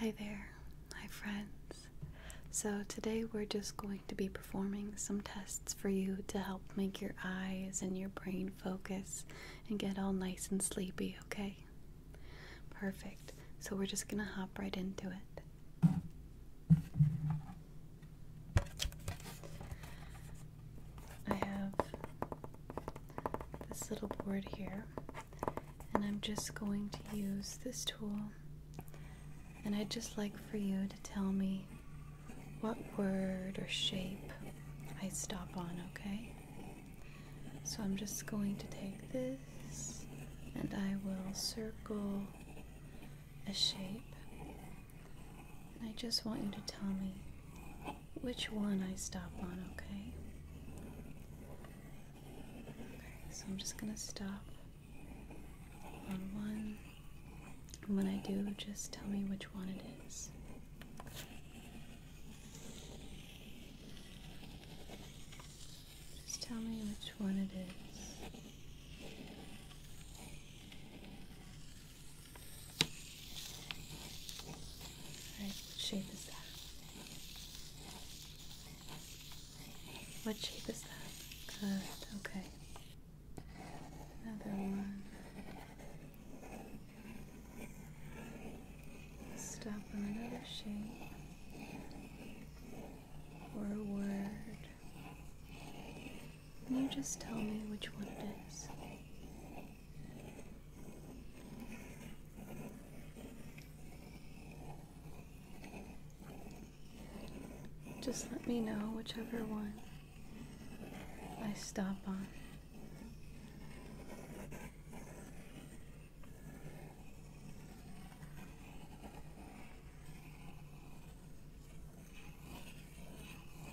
Hi there, my friends. So, today we're just going to be performing some tests for you to help make your eyes and your brain focus and get all nice and sleepy, okay? Perfect. So, we're just gonna hop right into it. I have this little board here, and I'm just going to use this tool. And I'd just like for you to tell me what word or shape I stop on, okay? So I'm just going to take this and I will circle a shape. I just want you to tell me which one I stop on, okay? so I'm just gonna stop on one. And when I do, just tell me which one it is. Just tell me which one it is. Alright, what shape is that? What shape is that? okay. Another one. Stop on another shape or a word. Can you just tell me which one it is? Just let me know whichever one I stop on.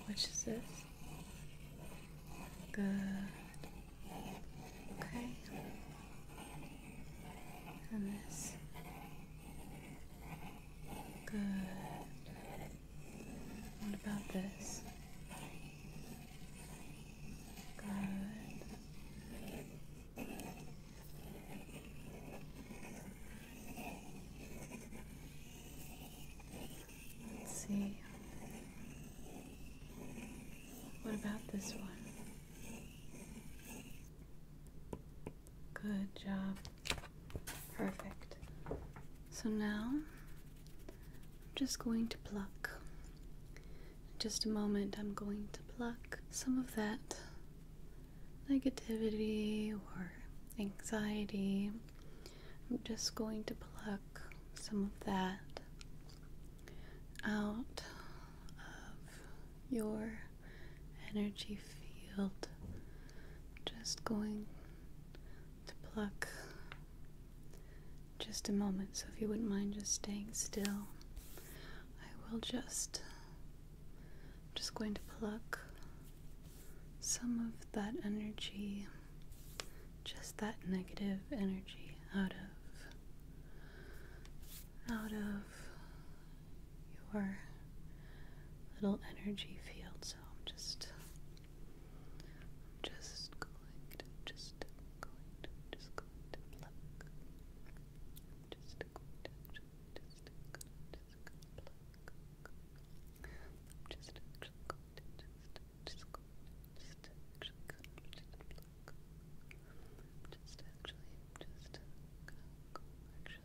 Which is this? Good. Okay. And this. Good. What about this? Good. see. What about this one? Good job. Perfect. So now I'm just going to pluck. In just a moment, I'm going to pluck some of that negativity or anxiety. I'm just going to pluck some of that out of your energy field. Just going to pluck just a moment, so if you wouldn't mind just staying still, I will just. just going to pluck some of that energy just that negative energy out of out of your little energy field. So I'm just I'm just going to just going to just going to pluck. I'm just going to just going to just going to pluck. I'm just actually going to just just going to just actually going to just pluck. Just actually, just go, actually,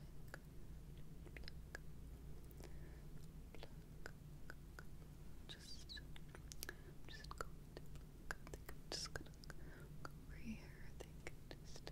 just, just go just gonna go over here. I think just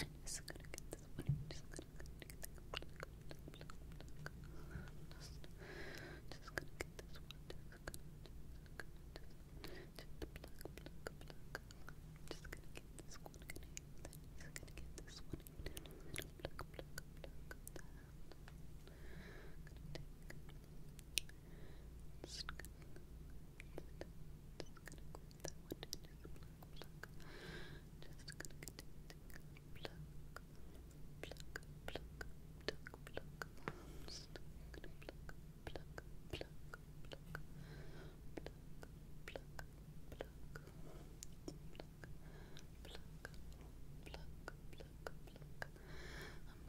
I'm just gonna get this one. just gonna get this one. Just, gonna get this one. Just gonna, just gonna, just, just pluck, Just gonna get this one just gonna get this one Just gonna, just, just going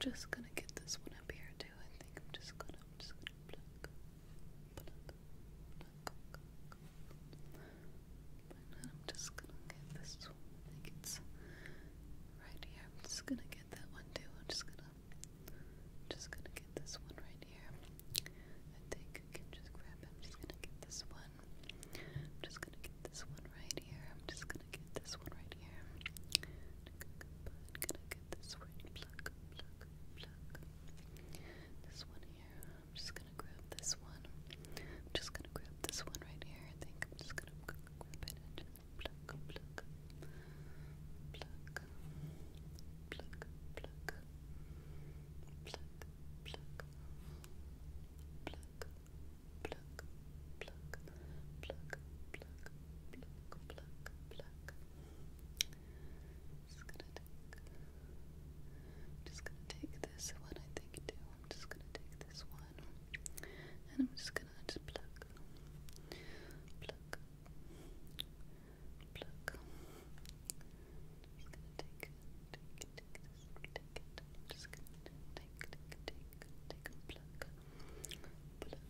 I'm just gonna get this one up here I think I'm just gonna, I'm just gonna pluck, pluck, pluck, pluck. And I'm just gonna get this one. I think it's right here. I'm just gonna get that one too. I'm just gonna, I'm just gonna get this one right here. I think I can just grab it. I'm just gonna get this one. I'm just gonna get this one right here. I'm just gonna get this one right here. I'm gonna at this one. Pluck, pluck, pluck. This one here. I'm just gonna grab this one. I'm just gonna grab this one right here. I think I'm just gonna grab it and just pluck, pluck, pluck, pluck, pluck, pluck, pluck, pluck, pluck, pluck. Pluck, pluck, pluck, pluck, pluck. Just gonna take. just gonna take this one, I think too. I'm just gonna take this one, and I'm just gonna just pluck, pluck, pluck. just gonna take, take, take this, take it. just gonna take, take, take, take, take, pluck, pluck,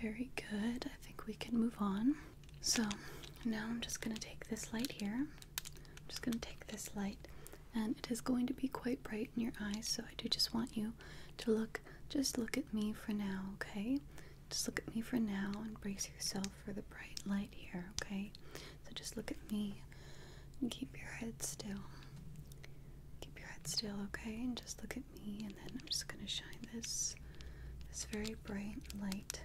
Very good. I think we can move on. So now I'm just going to take this light here. I'm just going to take this light, and it is going to be quite bright in your eyes. So I do just want you to look, just look at me for now, okay? Just look at me for now and brace yourself for the bright light here, okay? So just look at me and keep your head still. Keep your head still, okay? And just look at and then I'm just going to shine this this very bright light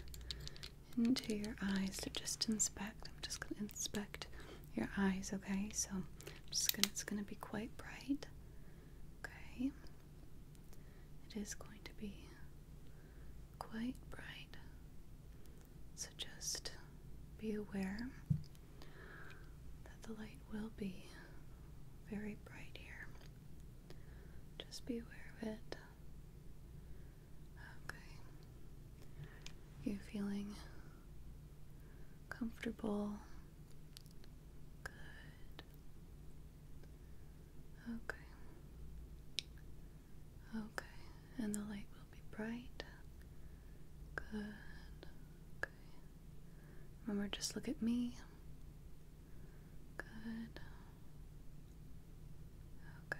into your eyes to just inspect. I'm just going to inspect your eyes, okay? So just going to, it's going to be quite bright. Okay. It is going to be quite bright. So just be aware that the light will be very bright here. Just be aware of it. Okay. You feeling comfortable? Good. Okay. Okay. And the light will be bright. Good. Okay. Remember, just look at me. Good. Okay.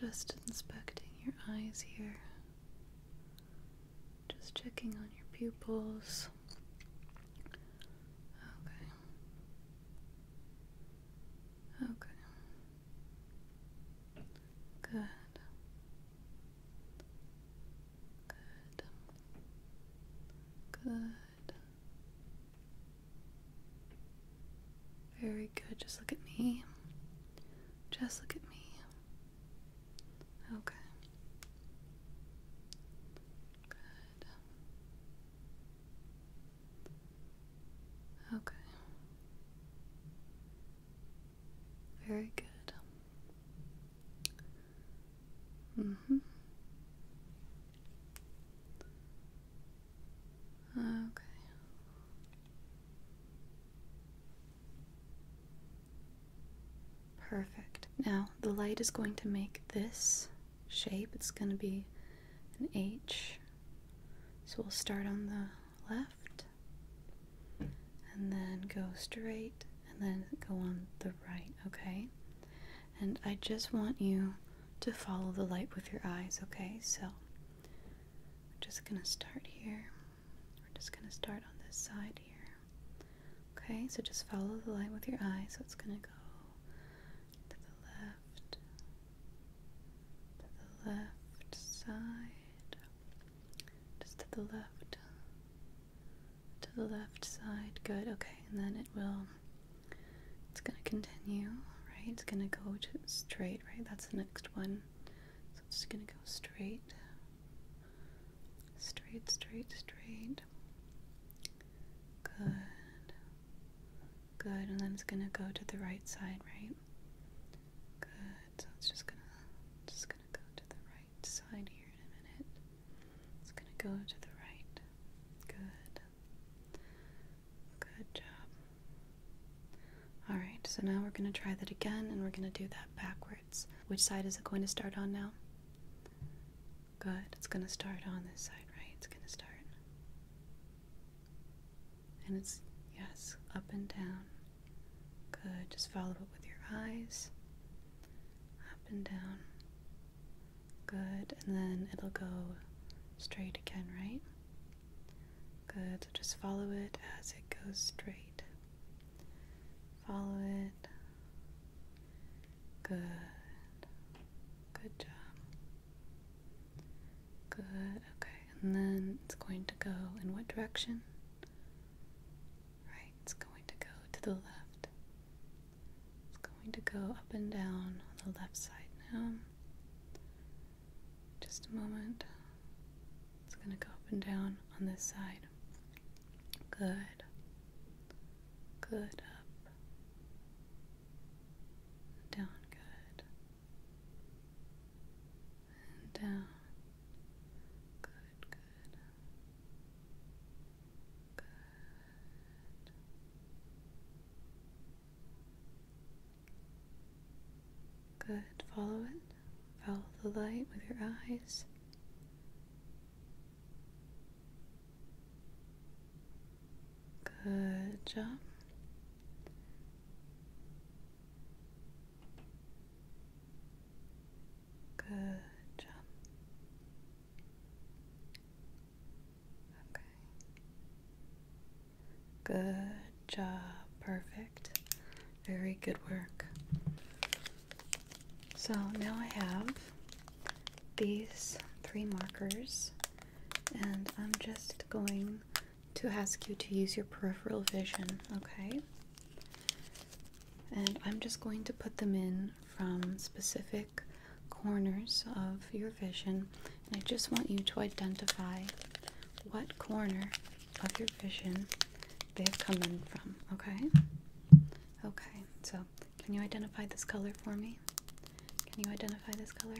Just inspecting your eyes here. Just checking on your pupils. Okay. Okay. Good. Good. Good. Very good. Just look at me. Just look at me. Okay. Good. Okay. Very good. Mm hmm. Okay. Perfect. Now, the light is going to make this shape. It's going to be an H. So we'll start on the left and then go straight and then go on the right, okay? And I just want you to follow the light with your eyes, okay? So I'm just gonna start here. We're just gonna start on this side here. Okay, so just follow the light with your eyes. So it's gonna go to the left, the left side, just to the left. To the left side. Good. Okay. And then it will. It's going to continue, right? It's going to go to straight, right? That's the next one. So it's just going to go straight. Straight, straight, straight. Good. Good. And then it's going to go to the right side, right? Good. So it's just gonna just gonna go to the right side here in a minute. It's gonna go to the right. Good. Good job. Alright, so now we're gonna try that again and we're gonna do that backwards. Which side is it going to start on now? Good. It's gonna start on this side, right? It's gonna start. And it's, yes, up and down. Good. Just follow it with your eyes. Up and down. Good. And then it'll go straight again, right? Good. So just follow it as it goes straight. Follow it. Good. Good job. Good. Okay. And then it's going to go in what direction? Right, it's going to go to the left. It's going to go up and down on the left side now. Just a moment. It's going to go up and down on this side. Good. Good. Up. Down. Good down. Uh, good, good. Good. Good. Follow it. Follow the light with your eyes. Good job. Good job. Okay. Good job. Perfect. Very good work. So now I have these three markers, and I'm just going to ask you to use your peripheral vision, okay? And I'm just going to put them in from specific corners of your vision. And I just want you to identify what corner of your vision they've come in from, okay? Okay, so can you identify this color for me? Can you identify this color?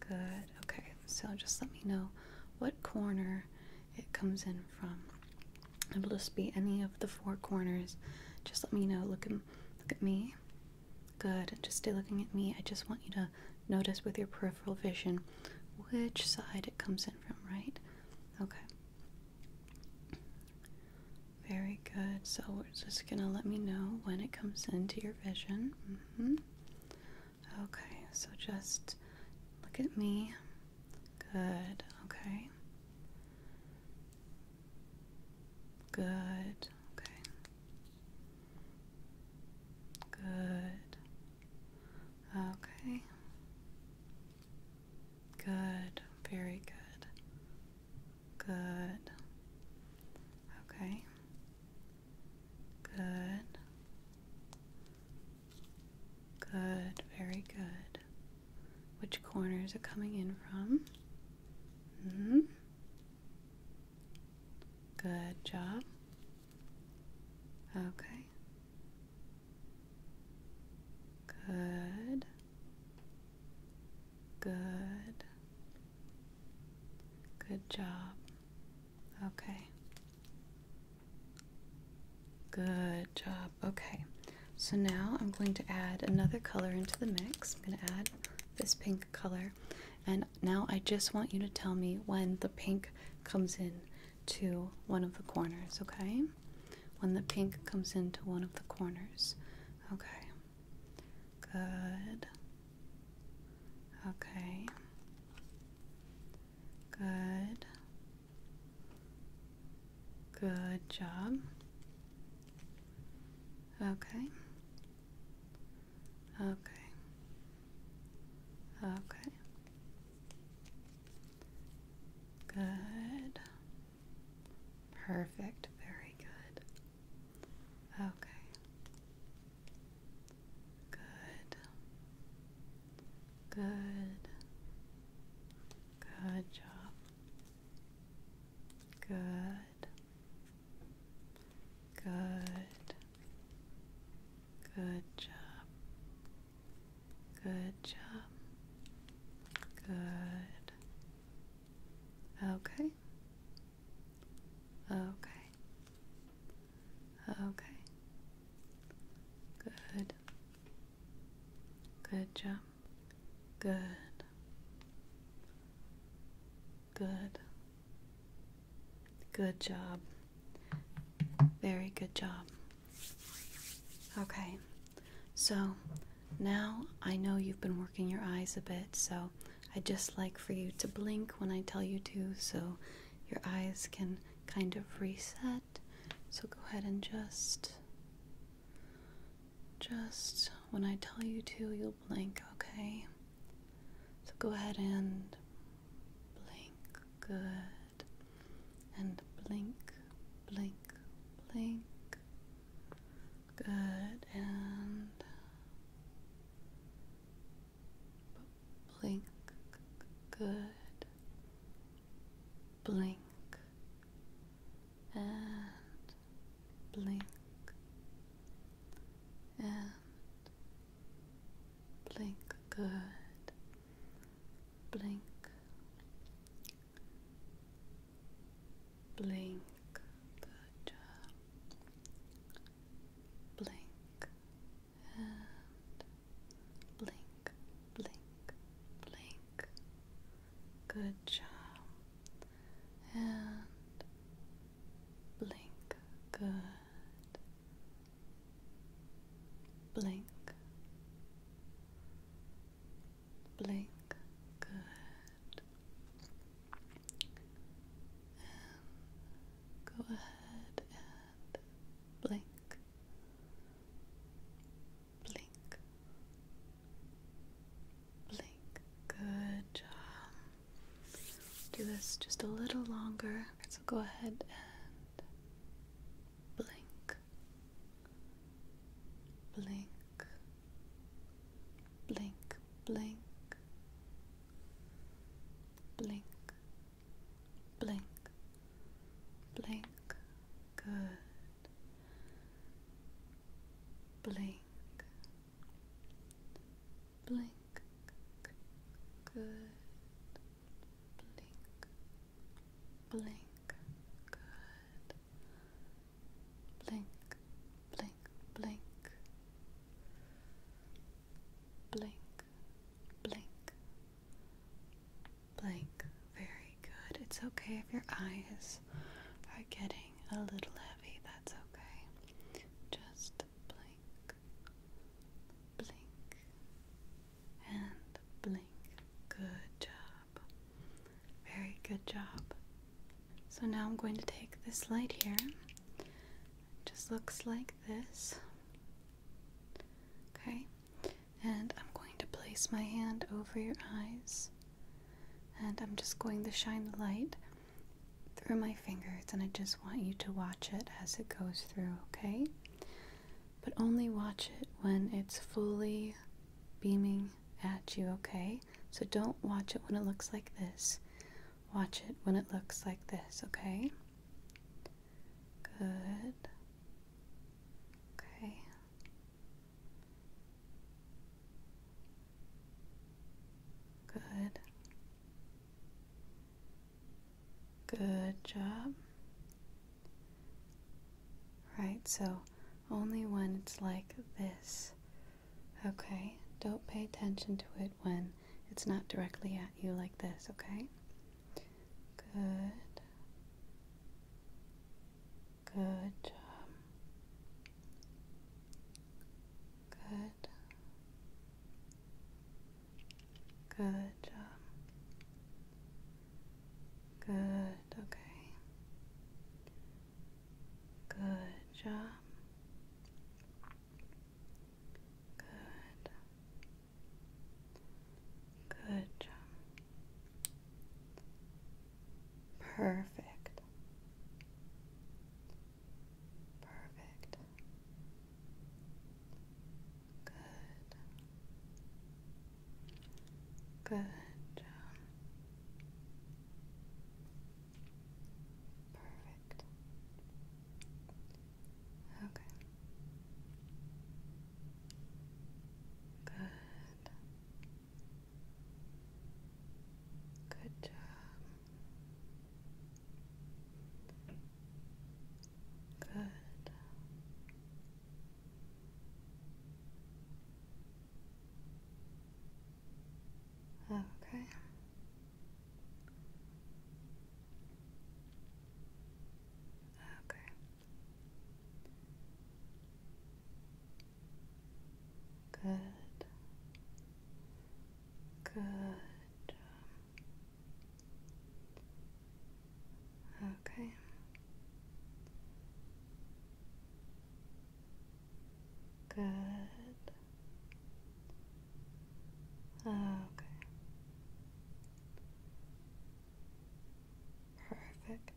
Good. Okay. So just let me know what corner it comes in from. It'll just be any of the four corners. Just let me know. Look at look at me. Good. Just stay looking at me. I just want you to notice with your peripheral vision which side it comes in from, right? Okay. Very good. So we're just gonna let me know when it comes into your vision. -hmm. Okay, so just look at me. Good, okay. Good, okay. Good. Okay. Good, very good. Good. Okay. Good. Good, very good. Which corner is it coming in from? hmm. Good job. Okay. Good. Good. Good job. Okay. Good job. Okay. So now I'm going to add another color into the mix. I'm going to add this pink color. And now I just want you to tell me when the pink comes in to one of the corners, okay? When the pink comes into one of the corners. Okay. Good. Okay. Good. Good job. Okay. Okay. Okay. Good. Perfect. Very good. Okay. Good. Good. Good job. Good. Good. Good job. Good job. Good. Okay. Okay. Okay. Good. Good job. Good. Good. Good job. Very good job. Okay. So now I know you've been working your eyes a bit, so I'd just like for you to blink when I tell you to, so your eyes can kind of reset. So go ahead and just just when I tell you to, you'll blink, okay? So go ahead and blink. Good. And blink, blink, blink. Good. And blink, good, blink, and blink, and blink, good, blink. Blink, good job. Blink, and blink, blink, blink. Good job. And blink, good. Blink, blink, good. And go ahead and blink, blink, blink. Good job. Do this just a little longer. So go ahead and blink, blink, blink, blink blink, blink, blink, good, blink, blink, good, blink, blink, good, blink, blink, blink blink, blink, blink. Very good. It's okay if your eyes are getting a little heavy, that's okay. Just blink, blink, and blink. Good job. Very good job. So now I'm going to take this light here just looks like this. Okay, and I'm going to place my hand over your eyes and I'm just going to shine the light through my fingers and I just want you to watch it as it goes through, okay? But only watch it when it's fully beaming at you, okay? So don't watch it when it looks like this watch it when it looks like this, okay? Good. Okay. Good. Good job. Right, so only when it's like this Okay? Don't pay attention to it when it's not directly at you like this, okay? Good. Good job. Good. Good job. Good, okay. Good job. Good. Good job. Perfect. Perfect. Good. Good job. Perfect. Okay. Good. Good job. Good. Okay. Okay. Good. Good. Okay. Good. Ah, okay. Perfect.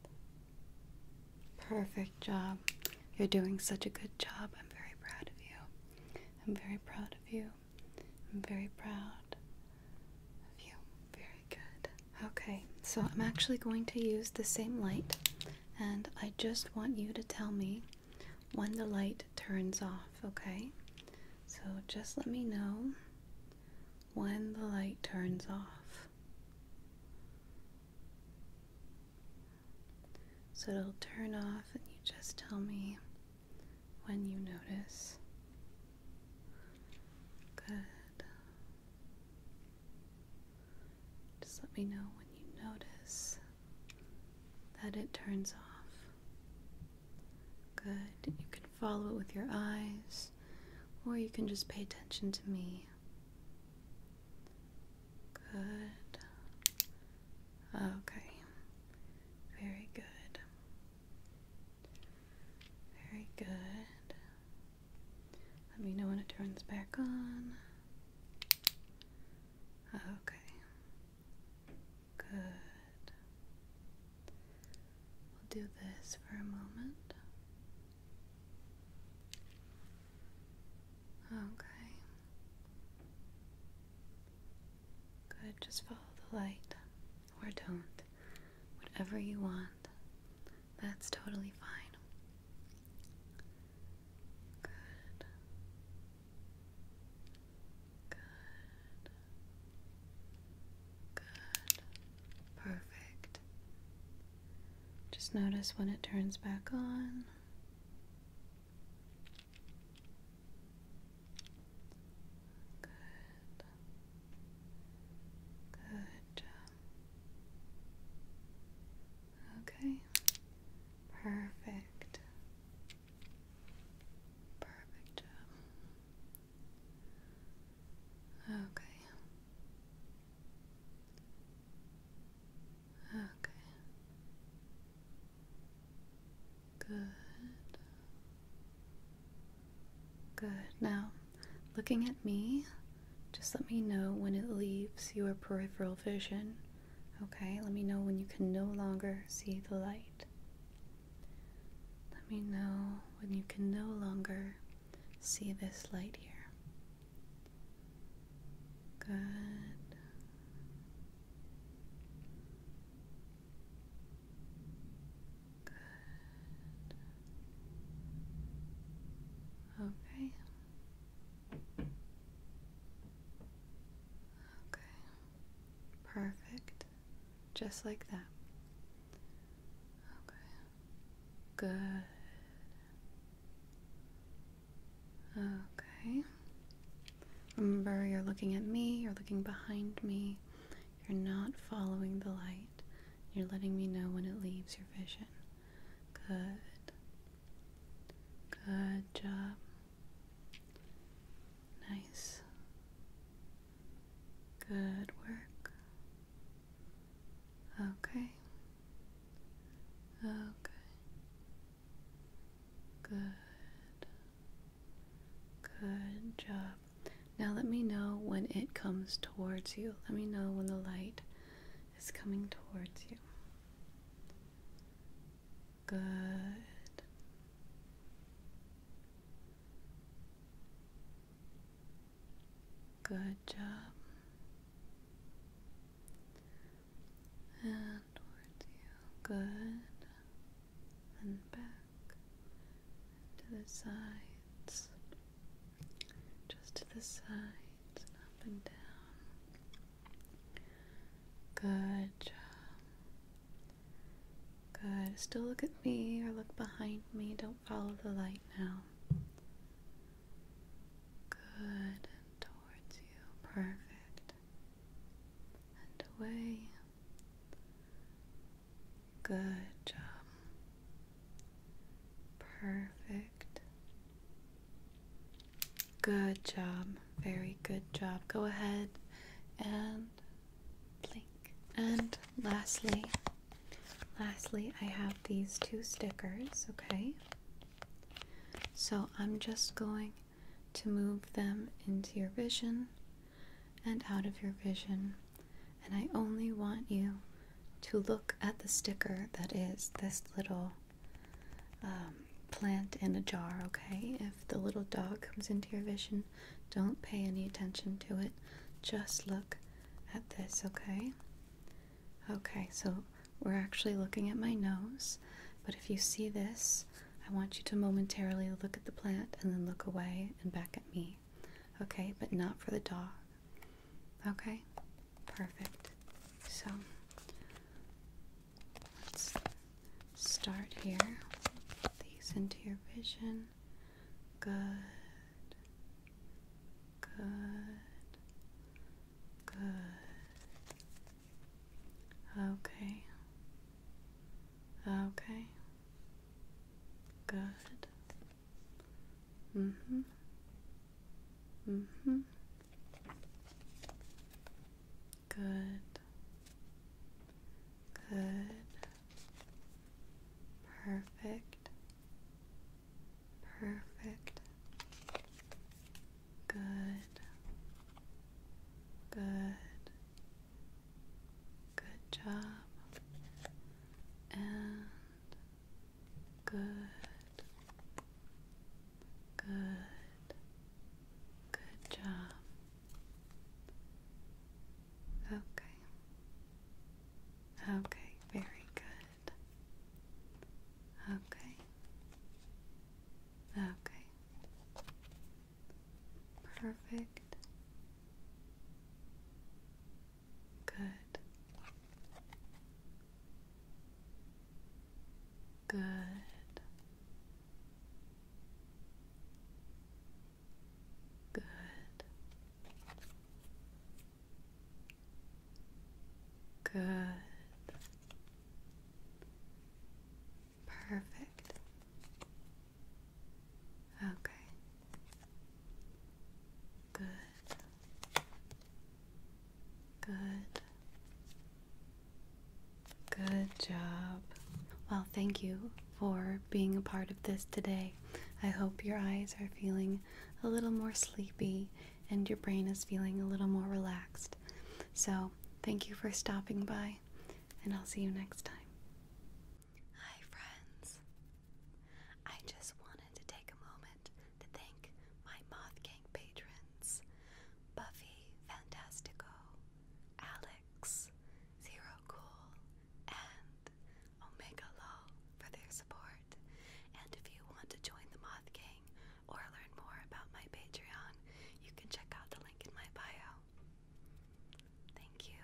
Perfect job. You're doing such a good job. I'm very proud of you. I'm very proud of you. I'm very proud of you. Very good. Okay, so I'm actually going to use the same light, and I just want you to tell me when the light turns off, okay? So just let me know when the light turns off. So it'll turn off, and you just tell me when you notice. Good. Just let me know when you notice that it turns off. Good. You can follow it with your eyes, or you can just pay attention to me. Good. Okay. Very good. Very good. Let me know when it turns back on. Oh, okay. Good. We'll do this for a moment. Okay. Good. Just follow the light or don't. Whatever you want. That's totally fine. Good. Good. Good. Perfect. Just notice when it turns back on. Good. Good job. Okay. Perfect. Perfect job. Okay. Okay. Good. Good. Now, looking at me, just let me know when it leaves your peripheral vision. Okay, let me know when you can no longer see the light. Let me know when you can no longer see this light here. Good. Good. Okay. Okay. Perfect. Just like that. Okay. Good. Okay. Remember, you're looking at me, you're looking behind me, you're not following the light. You're letting me know when it leaves your vision. Good. Good job. Nice. Good work. Okay. Okay. Good. Good job. Now let me know when it comes towards you. Let me know when the light is coming towards you. Good. Good job. And towards you. Good. And back. to the sides. Just to the sides up and down. Good job. Good. Still look at me or look behind me. Don't follow the light now. Good. And towards you. Perfect. And away. Good job. Perfect. Good job. Very good job. Go ahead and blink. And lastly, lastly, I have these two stickers, okay? So I'm just going to move them into your vision and out of your vision. And I only want you to look at the sticker that is this little um, plant in a jar, okay? If the little dog comes into your vision, don't pay any attention to it. Just look at this, okay? Okay, so we're actually looking at my nose, but if you see this, I want you to momentarily look at the plant and then look away and back at me. Okay, but not for the dog. Okay? Perfect. So let's start here. Put these into your vision. Good. Good. Good. Okay. Okay. Good. Mm-hmm. Mm-hmm. Good. Good. Perfect. Perfect. Good. Good. Good job. And Good. Good. Good job. Okay. Okay, very good. Okay. Okay. Perfect. Good. Good. Good. Good. Perfect. Okay. Good. Good. Good job. Well, thank you for being a part of this today. I hope your eyes are feeling a little more sleepy and your brain is feeling a little more relaxed. So, thank you for stopping by, and I'll see you next time. Hi, friends. I just wanted to take a moment to thank my Moth King patrons Buffy Fantastico, Alex, Zero Cool, and Omega Law for their support. And if you want to join the Moth King or learn more about my Patreon, you can check out the link in my bio. Thank you.